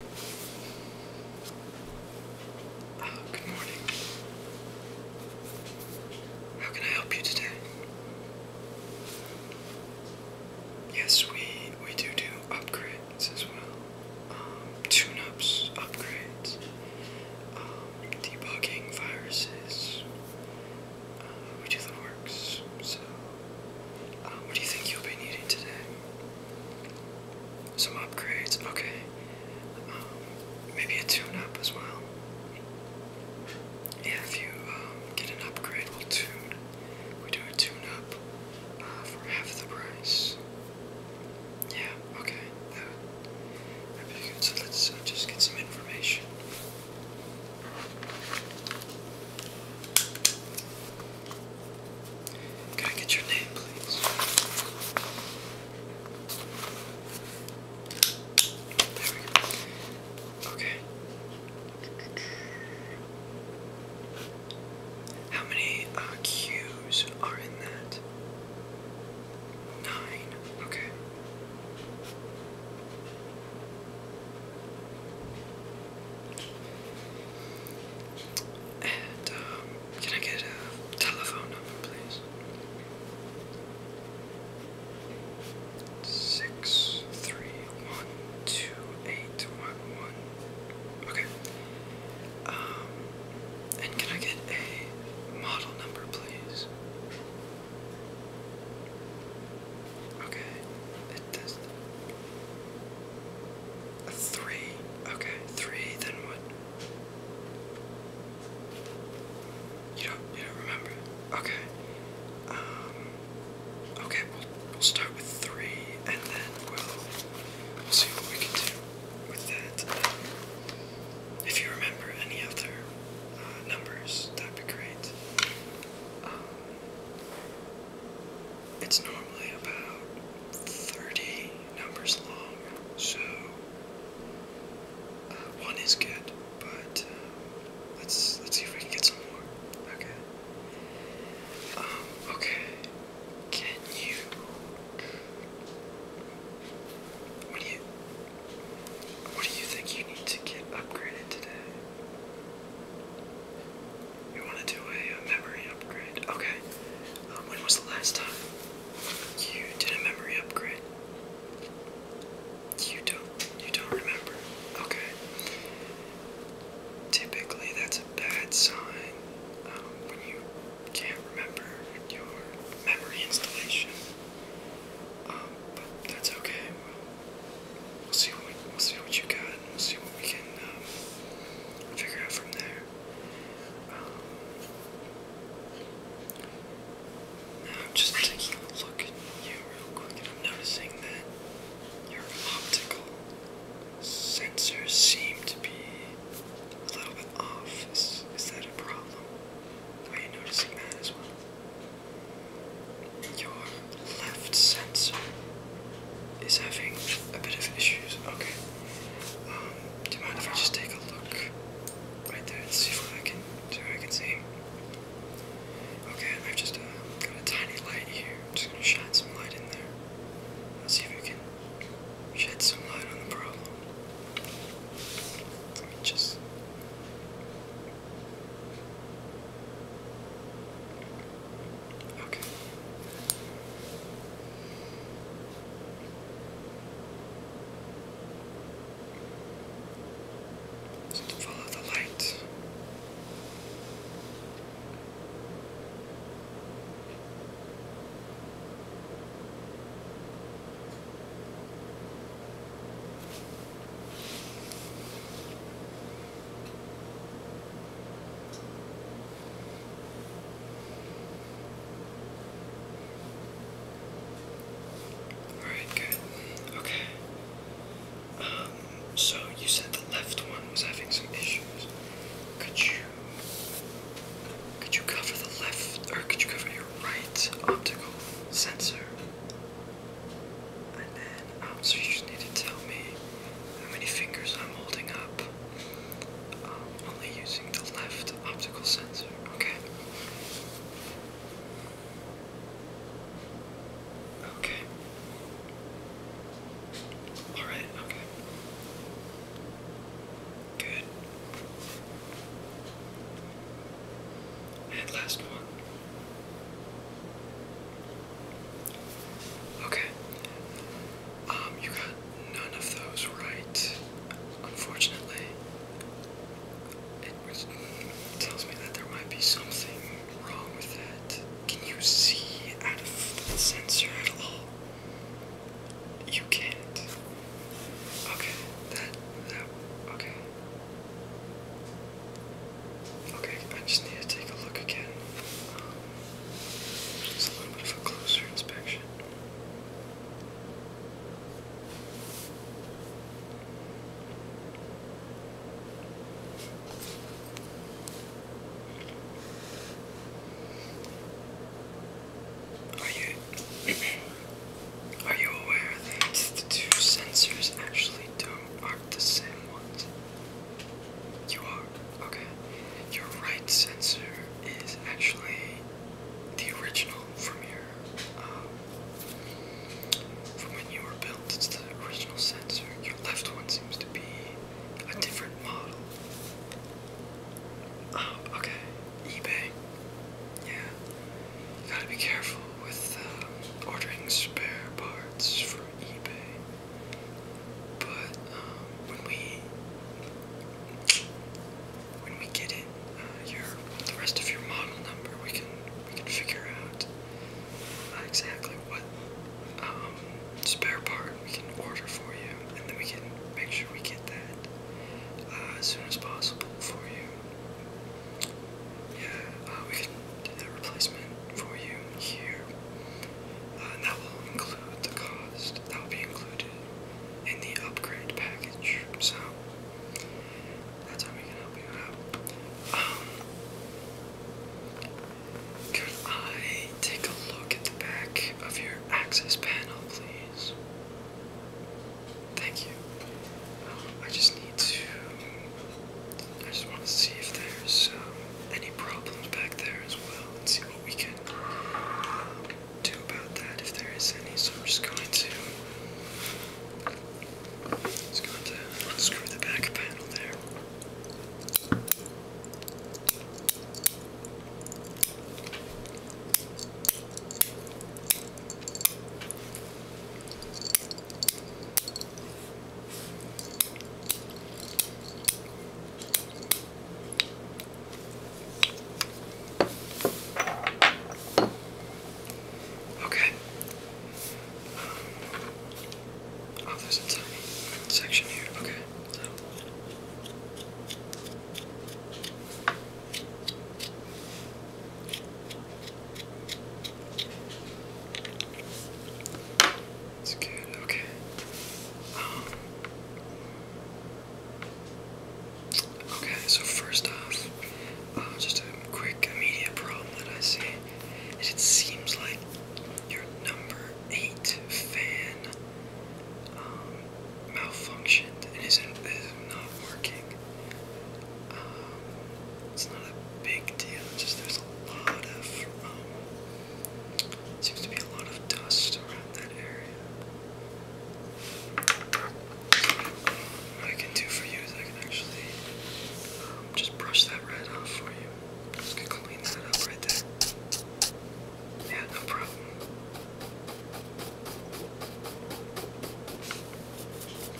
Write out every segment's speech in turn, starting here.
Oh, good morning. How can I help you today? Yes, we we do do upgrades as well. Um, tune-ups, upgrades, um, debugging viruses. Uh, we do the works. So, uh, what do you think you'll be needing today? Some upgrades, okay. Um, maybe a tune up as well. Yeah, if you um, get an upgrade, we'll tune. We do a tune up uh, for half the price. Yeah, okay. That would good. So let's uh, just get some information. Can I get your name, please? Okay. How many uh, are in that? Nine. Okay. And um, can I get a telephone number, please? Six three one two eight one one. Okay. Um, and can I get a model number, please? Okay three. Okay, three, then what? You don't you don't remember? Okay. Um Okay, we'll we'll start with three and then we'll we'll see what we can do with that. if you remember any other uh, numbers, that'd be great. Um, it's normally about 30 numbers long, so uh, one is good, but uh, let's let's see if we can get some more. Okay. Um, okay. Can you what do you what do you think you need to get upgraded today? You want to do a, memory upgrade? Okay. Um, when was the last time you did a memory upgrade? You don't. You don't remember. Okay. Typically, that's a bad sign um, when you can't remember your memory installation. Um, but that's okay we'll see what we, will see what you got. And we'll see what we can um, figure out from there. Um, now just taking a look at you real quick, and I'm noticing that your optical sensors seem to be a little bit off. Is, is that a problem? Are you noticing that as well? your left sensor is having a bit of issues. Okay. Um, do you mind if I just take a look right there and see if I can see I can see? Okay, I've just uh, got a tiny light here. I'm just gonna shine some light in there. Let's see if we can shed some light on the problem. Let me just Okay. So follow the light. Alright, good. Okay. Um, so you said the left one was having some issues. Could you could you cover the left or could you cover your right optical sensor? And then um, so you just need to tell me how many fingers I'm holding up. Um, only using the left optical sensor, okay? Okay. Alright, okay. Good. And last one. Okay. Um, you got none of those right, unfortunately. It, it tells me that there might be something wrong with that. Can you see out of the sensor at all? You can't. Okay, that, that, okay. Okay, I just need to take a look again. just a little bit of a closer inspection. Are you are you aware that the two sensors actually don't aren't the same ones? You are? Okay. Your right sensor is actually the original from your, um, from when you were built. It's the original sensor. Your left one seems to be a different model. Oh, okay. eBay. Yeah. You gotta be careful with um, ordering spare parts for eBay. But um, when we when we get it, uh, your the rest of your model number, we can we can figure out uh, exactly what um, spare part we can order for you, and then we can make sure we get that uh, as soon as possible for you uh, we can do that replacement for you here. Uh, that will include the cost. That will be included in the upgrade package. So that's how we can help you out. Um, could I take a look at the back of your access panel, please? Thank you. Um, I just need to I just want to see if there's um, any problems back there as well and see what we can um, do about that if there is any. So I'm just going to just going to unscrew the back panel there. Okay. Oh, there's a tiny section here. Okay. So. It's good, okay. Um, okay, so first off, uh, just a quick immediate problem that I see is it seems like your number eight fan um, malfunctioned and isn't, isn't working. Um, it's not a big deal, it's just there's a lot of, um, seems to be a lot of dust around that area. I can do for you is I can actually um, just brush that red off for you. Just clean that up right there. Yeah, no problem.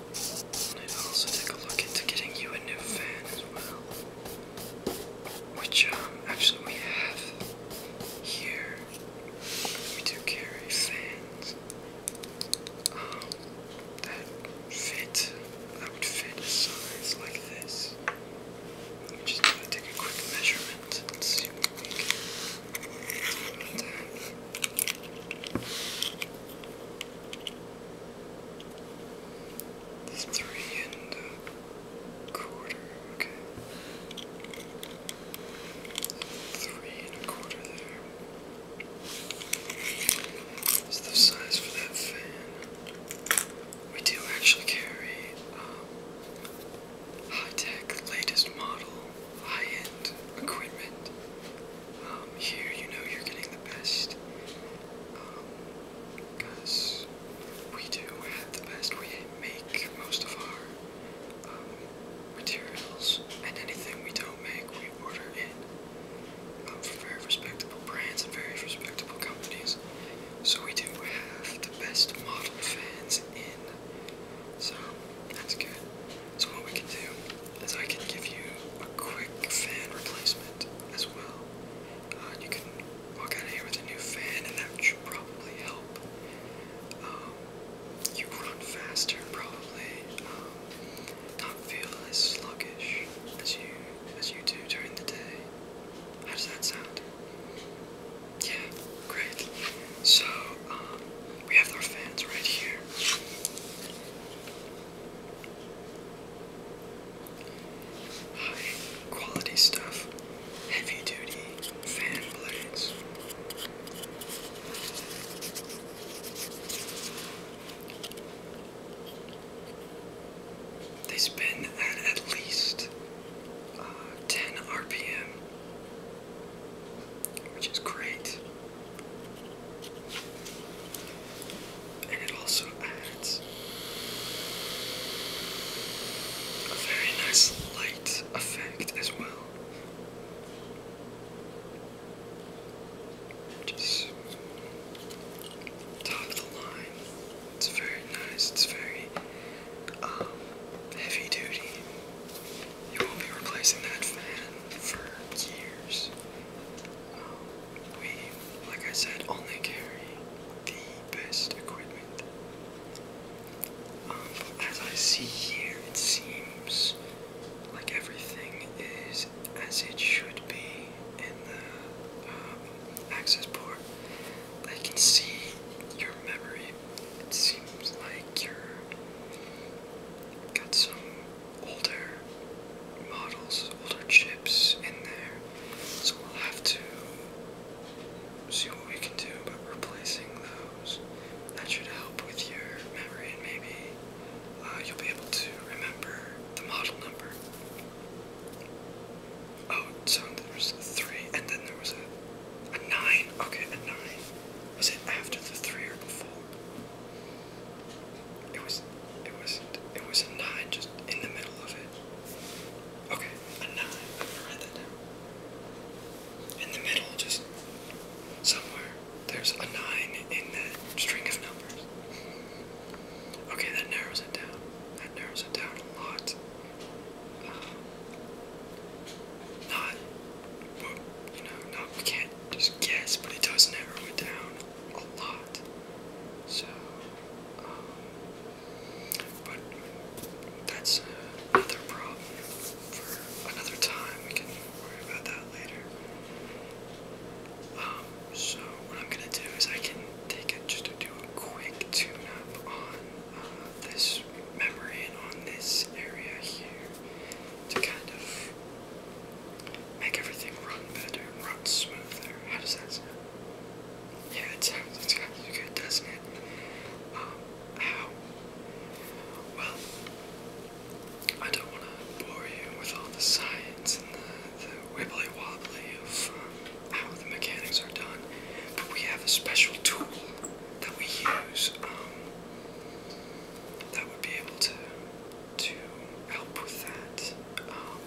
I'll also take a look into getting you a new fan as well. Which, um, actually we have here. We do carry fans. Um, that fit, that would fit a size like this. Let me just take a quick measurement and see what we can do Three and a quarter, okay. Three and a quarter there. Is the size for that fan? We do actually carry um, high-tech, latest model, high-end equipment um, here, you know, you're getting the best. Um, we do have the best. We make most of our um, materials, and anything we don't make, we order in from very respectable brands and very respectable companies. So we do have the best model fans in. So that's good. So what we can do is I can give you a quick fan replacement as well. Uh, you can walk out of here with a new fan, and that should probably help. Um, you run faster, probably. Um, not feel as sluggish as you as you do during the day. How does that sound? Yeah, great. So um, we have our fans right here. High quality stuff, heavy duty fan blades. They spin at at least uh, 10 RPM, which is great. And it also adds a very nice light effect as well. Just top of the line. It's very nice, it's very um, heavy duty you will be replacing that fan for years. Um, we, like I said, only carry the best equipment. Um, as I see here, it seems like everything is as it should be in the um, access port. I can see your memory. It seems like you're got some older models, older chips in there. So we'll have to see what we can do But replacing those. That should help with your memory, and maybe uh, you'll be able to remember the model number. Oh, so there was a three, and then there was a a nine. Okay, a nine. Was it after the three or before? It was, it was it was a nine just in the middle of it. Okay, a nine. I'm gonna down. In the middle, just somewhere, there's a nine in that string of numbers. Okay, that narrows it down. That narrows it down a lot. Um, not, well, you know, we can't just guess, but it does narrow it down a lot. So, um, but that's another problem for another time. We can worry about that later. Um, so what I'm gonna do is I can take it just to do a quick tune-up on uh, this memory and on this area here to kind of Make everything run better, run smoother. How does that sound? Yeah, it sounds, it sounds good, doesn't it? Um, how? Well, I don't want to bore you with all the science and the, wibbly wobbly of um, how the mechanics are done, but we have a special tool that we use. Um, that would be able to to help with that. Um,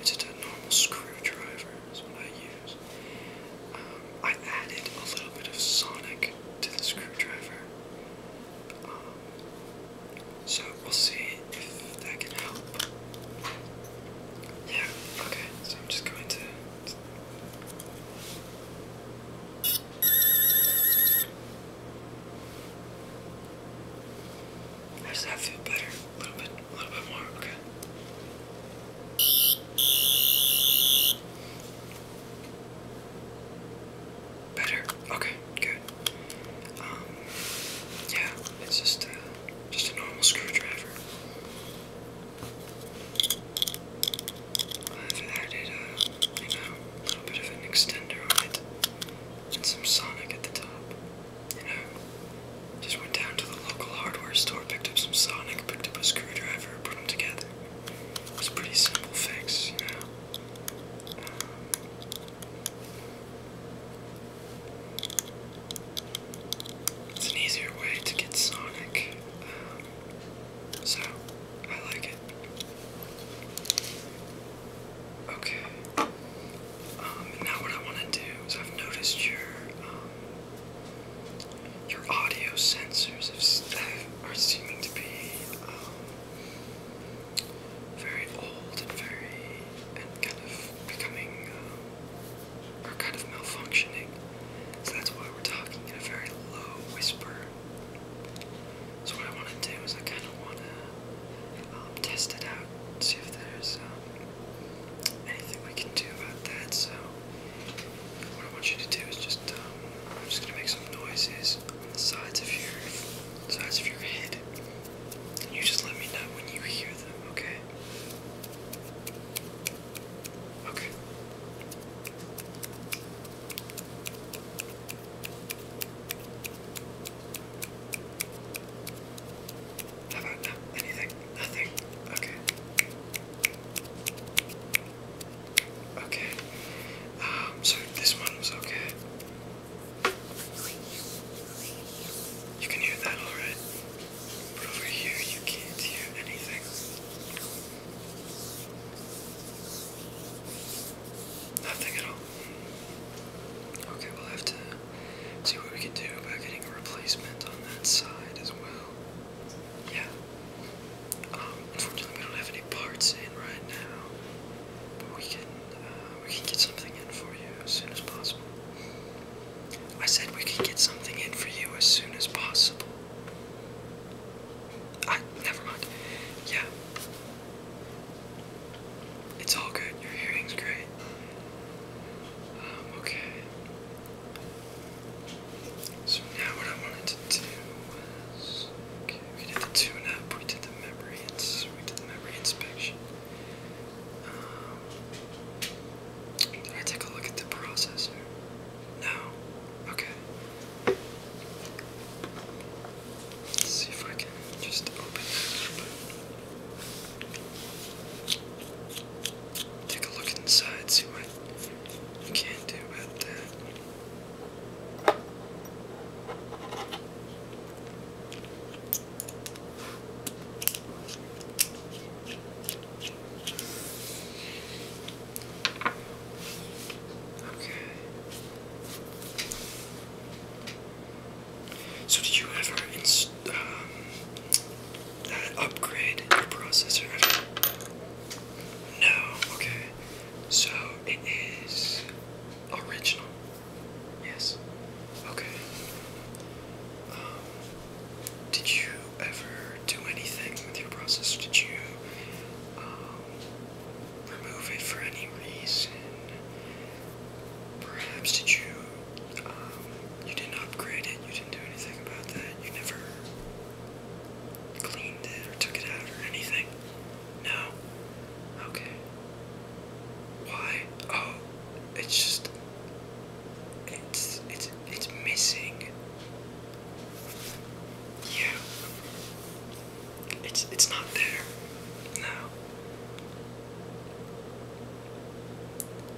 it's just a normal screwdriver is what I use. Um, I added a little bit of sonic to the screwdriver. Um, so we'll see if that can help. Yeah, okay, so I'm just going to does that feel better? A little bit, a little bit more, okay. Better. Okay, good. Um, yeah, it's just uh, just a normal screwdriver. I've added a, uh, you know, little bit of an extender on it and some Sonic at the top. You know, just went down to the local hardware store, picked up some Sonic, picked up a screwdriver, put them together. It was a pretty simple fix, you know. Um, it's an easier way to get Sonic. Um, so, I like it. Okay. Um, now what I want to do is I've noticed your, um, your audio sensors are seeming to be, um, very old and very, and kind of becoming, um, or kind of malfunctioning. So that's why we're talking in a very low whisper so what I want to do is I kind of want to um, test it out, see if there's um, anything we can do about that. So what I want you to do is just um, I'm just gonna make some noises on the sides of your sides of your head. And you just let me know when you hear them, okay? Okay about no, Nothing? Okay. Okay. Um, so this one was okay. You can hear that alright. But over here you can't hear anything. Nothing at all. Okay, we'll have to see what we can do about getting a replacement on that side as well. Yeah. Um, unfortunately, we don't have any parts in right now, but we can uh, we can get something in for you as soon as possible. I said we could get something in for you as soon as possible never mind. Yeah. It's all good. Your hearing's great. Um, okay. So now what I wanted to do was okay, we did the tune up, we did the memory ins we did the memory inspection. Um, did I take a look at the processor? No. Okay. Let's see if I can just open Take a look inside, see what you can do about that. Okay. So, did you ever inst um, uh, upgrade your processor? Ever? No. Okay. So it is original. Yes. Okay. Um, did you ever do anything with your process? Did you um, remove it for any reason? Perhaps did you um, you didn't upgrade it? You didn't do anything about that. You never cleaned it or took it out or anything. No. Okay. Why? Oh, it's just it's it's it's missing yeah. It's it's not there. No.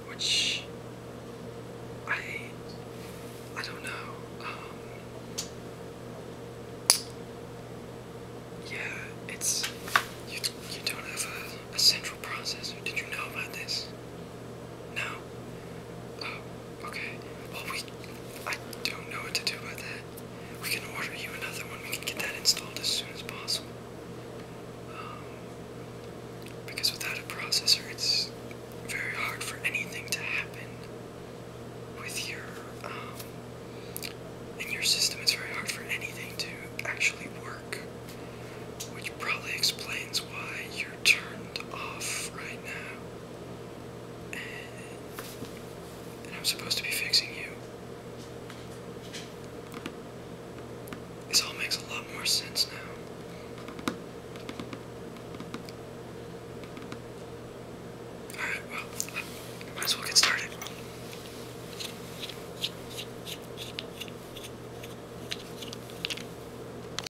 Which I I don't know. Um Yeah, it's you you don't have a, a central processor. Did you know about this? No. Oh, okay. Well, we. I don't know what to do about that. We can order you another one. We can get that installed as soon as possible. Um, because without a processor, it's very hard for anything to happen with your. Um, in your system, it's very hard for anything to actually work. Which probably explains why you're turned off right now. I'm supposed to be fixing you. This all makes a lot more sense now. Alright, well, might as well get started.